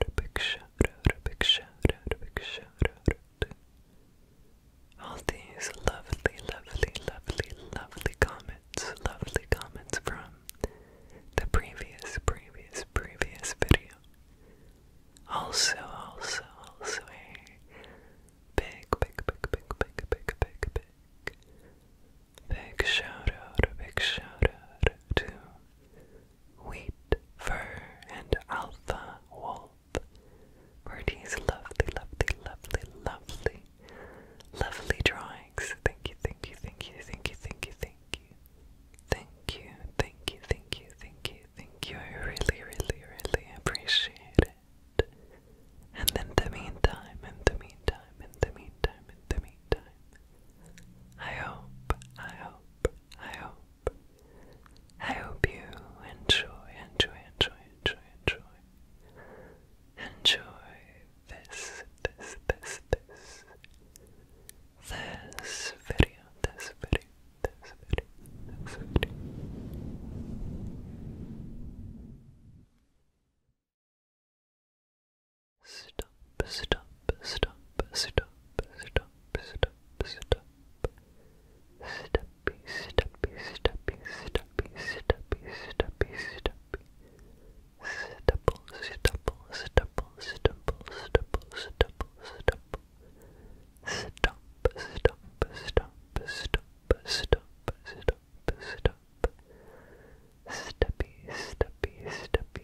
a big shout out, a big shout out, a big shout out to all these lovely, lovely, lovely, lovely comments, lovely comments from the previous, previous, previous video. Also, also, also a big, big, big, big, big, big, big. Big shout out, a big shout out to wheat, fur, and alpha wolf. Bertie's lovely, lovely, lovely, lovely, lovely drawings. thank you, thank you, thank you, thank you, thank you. Thank you, thank you, thank you, thank you, thank you. I really, really, really appreciate it. And in the meantime, in the meantime, in the meantime, in the meantime, I hope, I hope, I hope, I hope you enjoy, enjoy, enjoy, enjoy, enjoy, enjoy this, this, this, this, this video, this video, this video, this video. Stop stop, stop, stop, stop, stop, stop. Steppy, steppy, steppy, steppy, steppy, steppy, steppy. Stipple, stipple, stipple, stipple, stipple, stipple, stipple. Stop, stop, stop, stop, stop, stop, stop. Steppy, steppy, steppy,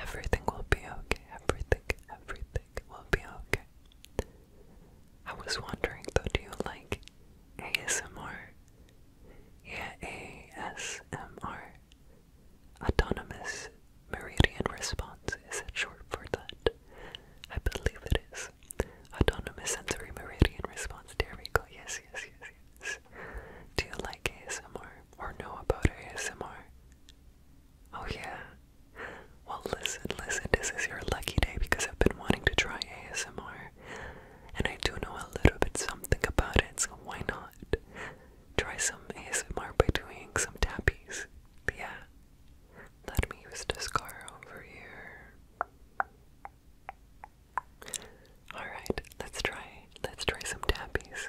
everything. will be okay. Everything, everything will be okay. I was wondering though, do you like ASMR? Yeah, ASMR. Autonomous Meridian Response. Is it short for that? I believe it is. Autonomous Sensory Meridian Response. There we go. Yes, yes, yes, yes. Do you like ASMR? or know about ASMR? Oh, yeah. Well, listen, listen, this is your lucky day because I've been wanting to try ASMR. And I do know a little bit something about it, so why not? Try some ASMR by doing some tappies. yeah. Let me use this car over here. Alright, let's try let's try some tappies.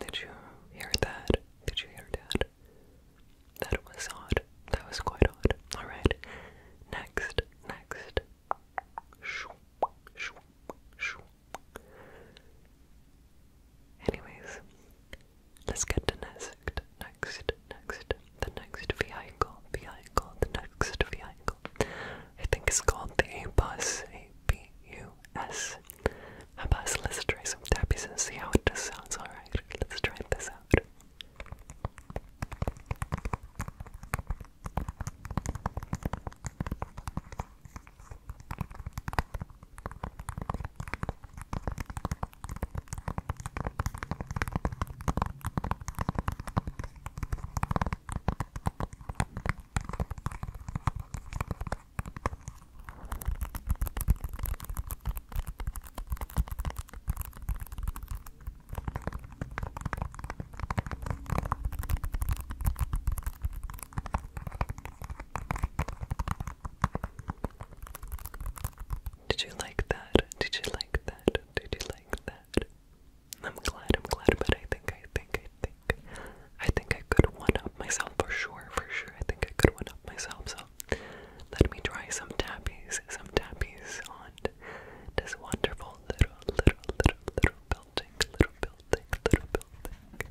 Did you hear that? Did you hear that? That was odd. That was quite odd. Alright. Next. Next. Anyways, let's get to next. Next. Next. The next vehicle. Vehicle. The next vehicle. I think it's called the A bus. A B U S. How about let's try some tappies and see how it just sounds alright? Let's try this out. Did you like that? Did you like that? Did you like that? I'm glad, I'm glad, but I think, I think, I I think I could one up myself for sure, for sure. I think I could one up myself. So let me try some tappies, some tappies on this wonderful little, little, little, little building, little building, little building.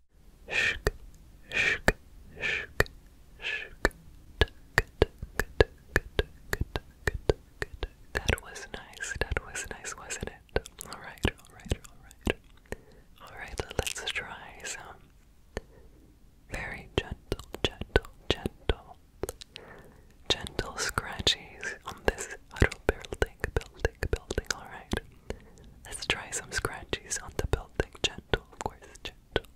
Shk, shk, shk, shk. That was nice. That was nice, wasn't it? All right, all right, all right. All right, let's try some very gentle, gentle, gentle, gentle scratches on this auto building, building, building, alright. Let's try some scratches on the building. Gentle, of course, gentle.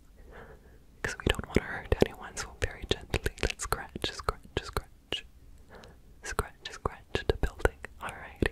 Because we don't want to hurt anyone, so very gently. Let's scratch, scratch, scratch. Scratch, scratch the building. Alrighty.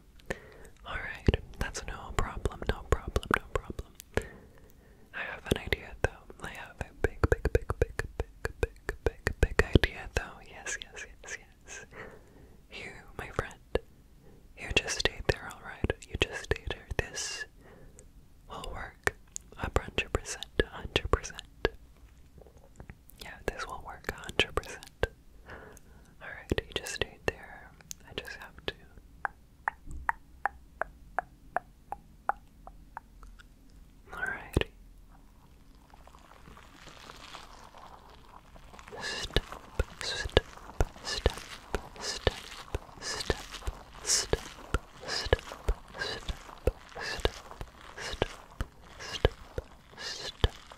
Alright, that's no problem, no problem, no problem. I have an idea though. I have a big, big, big, big, big, big, big, big idea though. Yes, yes, yes, yes. You, my friend, you just stayed there, alright? You just stayed there. This will work. A hundred percent, hundred percent. Yeah, this will work a hundred percent. Alright, you just stayed there. I just have to. Alrighty. Step, step, step, step, step, step, step, step, step, step, step,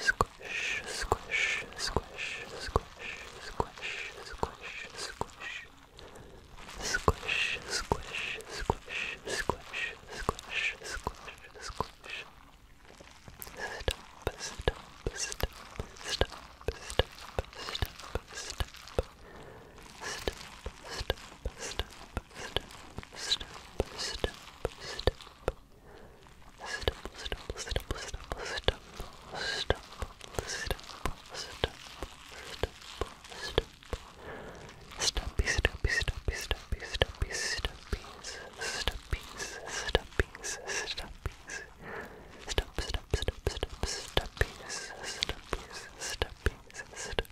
Squish, squish, squish, squish, squish, squish, squish. Squish, squish, squish, squish, squish, squish, squish. Stop, stop, stop, stop, stop, stop, stop. Stop, stop, stop, stop, stop, stop stumble, stumble, stumble, stumble, stumble, stumble, stumble, stumble, Stumpy, stumpy, stumpy, stumpy, stumpy, stumpies, stumpies, stumpies, stumpies, stump, stump, stump, stump, stumpies, stumpies, stumpies, stump,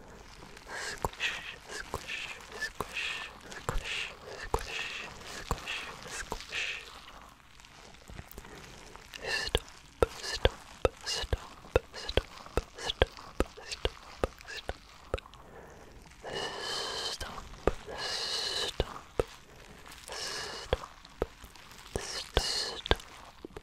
Squish, squish, squish, squish, squish, squish, squish. Stop, stop, stop, stop, stop, stop, stop. Stop, stop, stop, stop, stop,